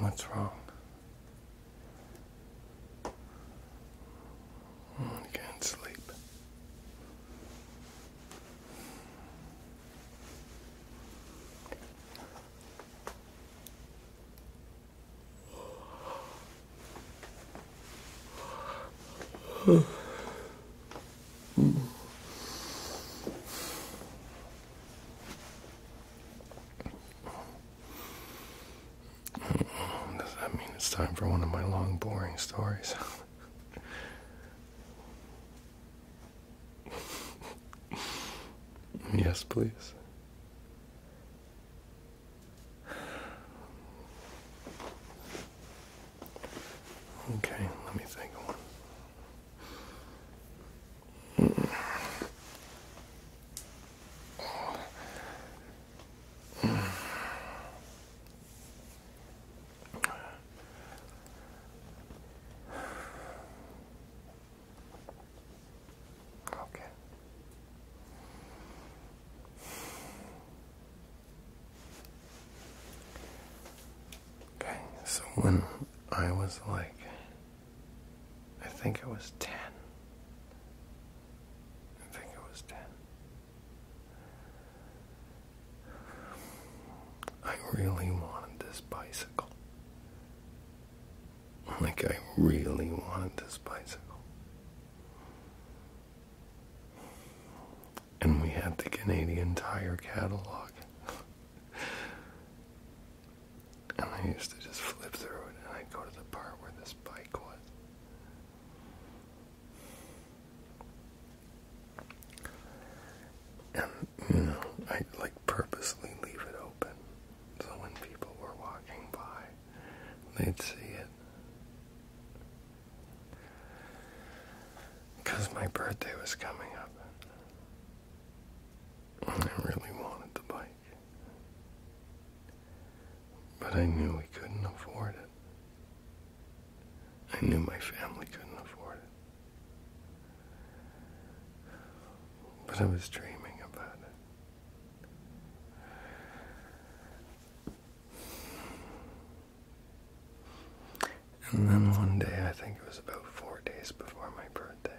What's wrong? You can't sleep. mm. Does that mean it's time for one of my long, boring stories? yes, please. Okay, let me think Okay. Okay, so when I was like I think it was 10. I think it was 10. I really wanted this bicycle. Like, I really wanted this bicycle. And we had the Canadian Tire catalog. and I used to just flip through it, and I'd go to the part where this bike was. And you know, I like purposely leave it open, so when people were walking by, they'd see it. Because my birthday was coming up, I really wanted the bike. But I knew we couldn't afford it. I knew my family couldn't afford it. But I was dreaming about it. And then one day, I think it was about four days before my birthday,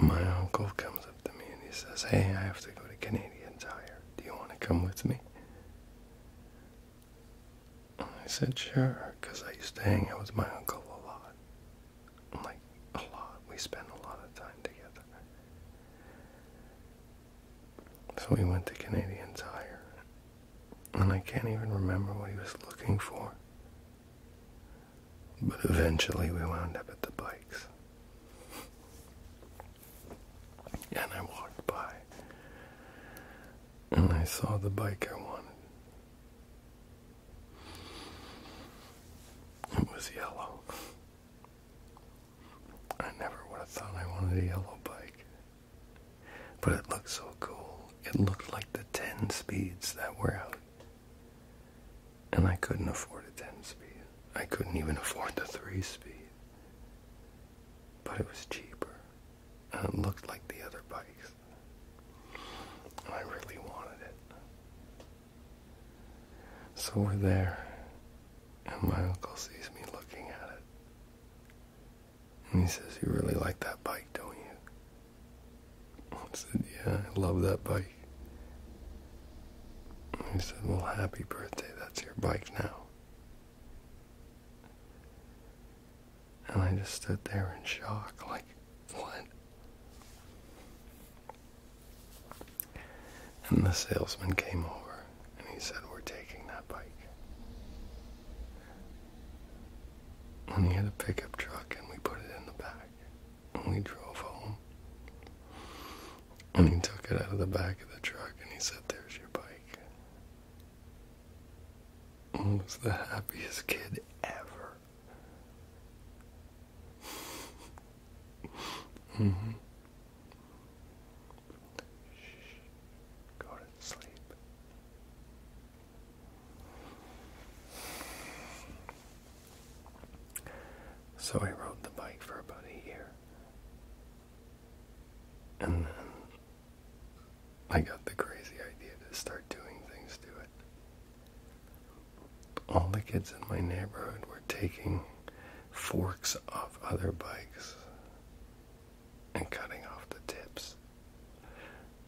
my uncle comes up to me and he says, Hey, I have to go to Canadian Tire. Do you want to come with me? I said, Sure, because I used to hang out with my uncle a lot. Like, a lot. We spent a lot of time together. So we went to Canadian Tire. And I can't even remember what he was looking for. But eventually we wound up at the bikes, And I walked by. And I saw the bike I wanted. It was yellow. I never would have thought I wanted a yellow bike. But it looked so cool. It looked like the 10 speeds that were out and I couldn't afford a 10 speed. I couldn't even afford the 3 speed. But it was cheaper. And it looked like the other bikes. I really wanted it. So we're there. And my uncle sees me looking at it. And he says, You really like that bike, don't you? I said, Yeah, I love that bike. He said, Well, happy birthday. That's your bike now. And I just stood there in shock, like, What? And the salesman came over and he said, We're taking that bike. And he had a pickup truck, and we put it in the back. And we drove home. And he took it out of the back of the truck, and he said, There's your bike. I was the happiest kid ever. Mm-hmm. Shh. Go to sleep. So I rode the bike for about a year. And then I got the crazy idea to start doing things to it. All the kids in my neighborhood were taking forks off other bikes and cutting off the tips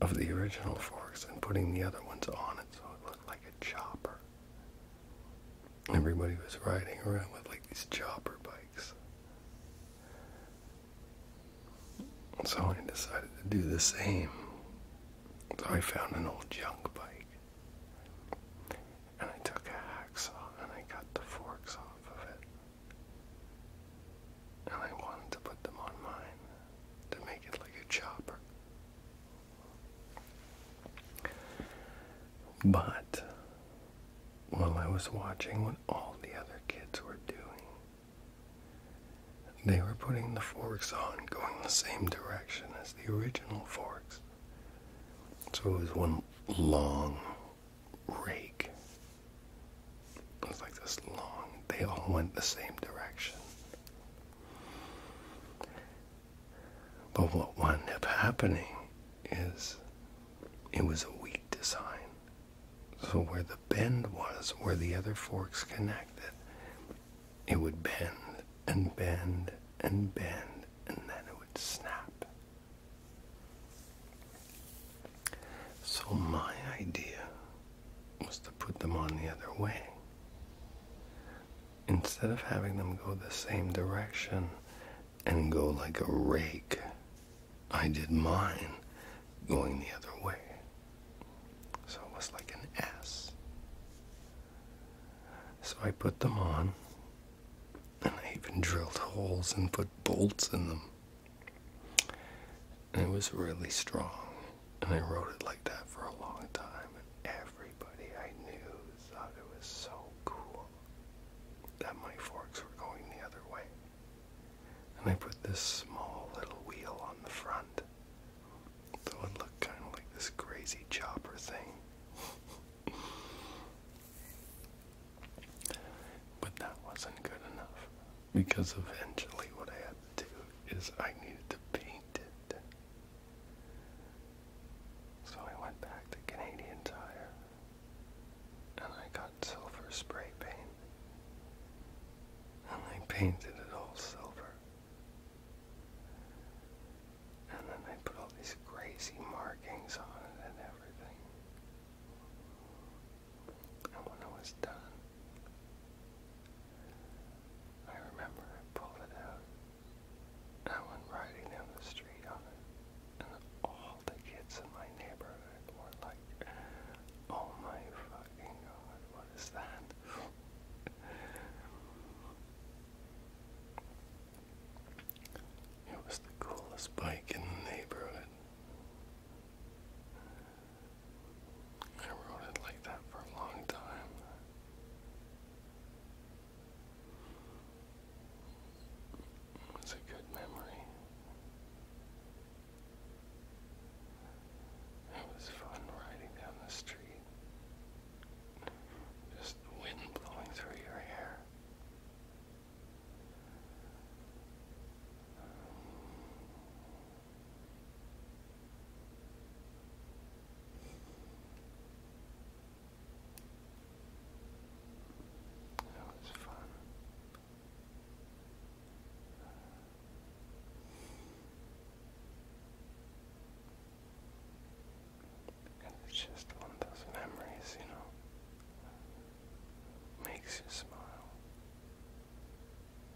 of the original forks and putting the other ones on it so it looked like a chopper. Everybody was riding around with like these chopper bikes. So I decided to do the same. So I found an old junk bike. And I took a hacksaw and I cut the forks off of it. And I wanted to put them on mine to make it like a chopper. But while I was watching what all the other kids were doing, they were putting the forks on going the same direction as the original forks. So it was one long rake it was like this long, they all went the same direction. But what wound up happening is it was a weak design. So where the bend was, where the other forks connected, it would bend and bend and bend and then it would snap. So my idea was to put them on the other way. Instead of having them go the same direction and go like a rake, I did mine going the other way. So it was like an S. So I put them on, and I even drilled holes and put bolts in them and it was really strong. And I wrote it like that for a long time. And everybody I knew thought it was so cool that my forks were going the other way. And I put this small little wheel on the front. So it looked kind of like this crazy chopper thing. but that wasn't good enough because eventually what I had to do is I needed to paint it. So I went back to Canadian Tire and I got silver spray paint and I painted it all silver. And then I put all these crazy markings on it and everything when it was done, I remember I pulled it out. I went riding down the street And all the kids in my neighborhood were like, oh my fucking god, what is that? It was the coolest bike in the neighborhood. I wrote it like that for a long time. It's a good memory. It was fun riding down the street. Just the wind blowing through your hair. Um, that was fun. it's just one of those memories, you know, makes you smile.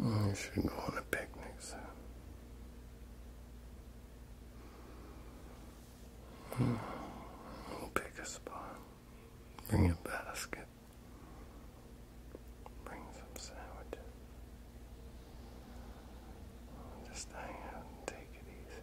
You should go on a picnic We'll hmm. pick a spot. Bring a basket. Bring some sandwiches. Just hang out and take it easy.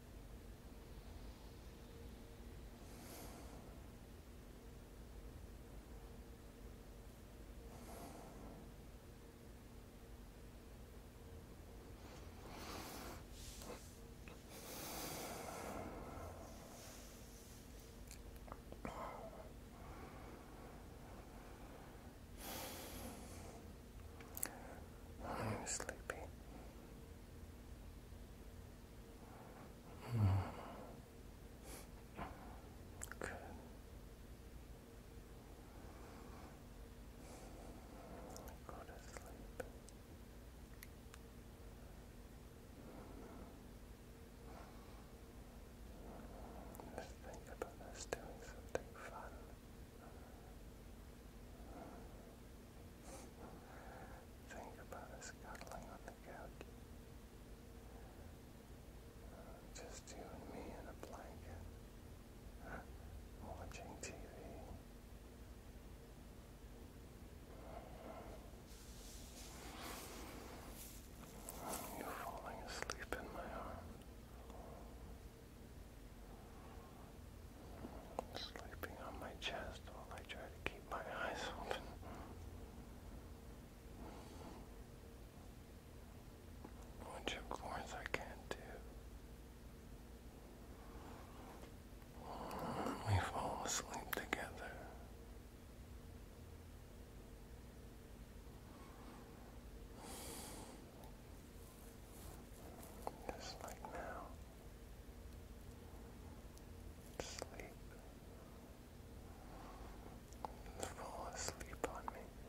I'm sleepy. Good. Go to sleep. Just think about us doing something fun. Think about us cuddling on the couch. Uh, just you and me in a blanket, watching TV. you falling asleep in my arms. Sleeping on my chest while I try to keep my eyes open. Which of course I can't do. We fall asleep together. Just like now. Sleep. Fall asleep on me.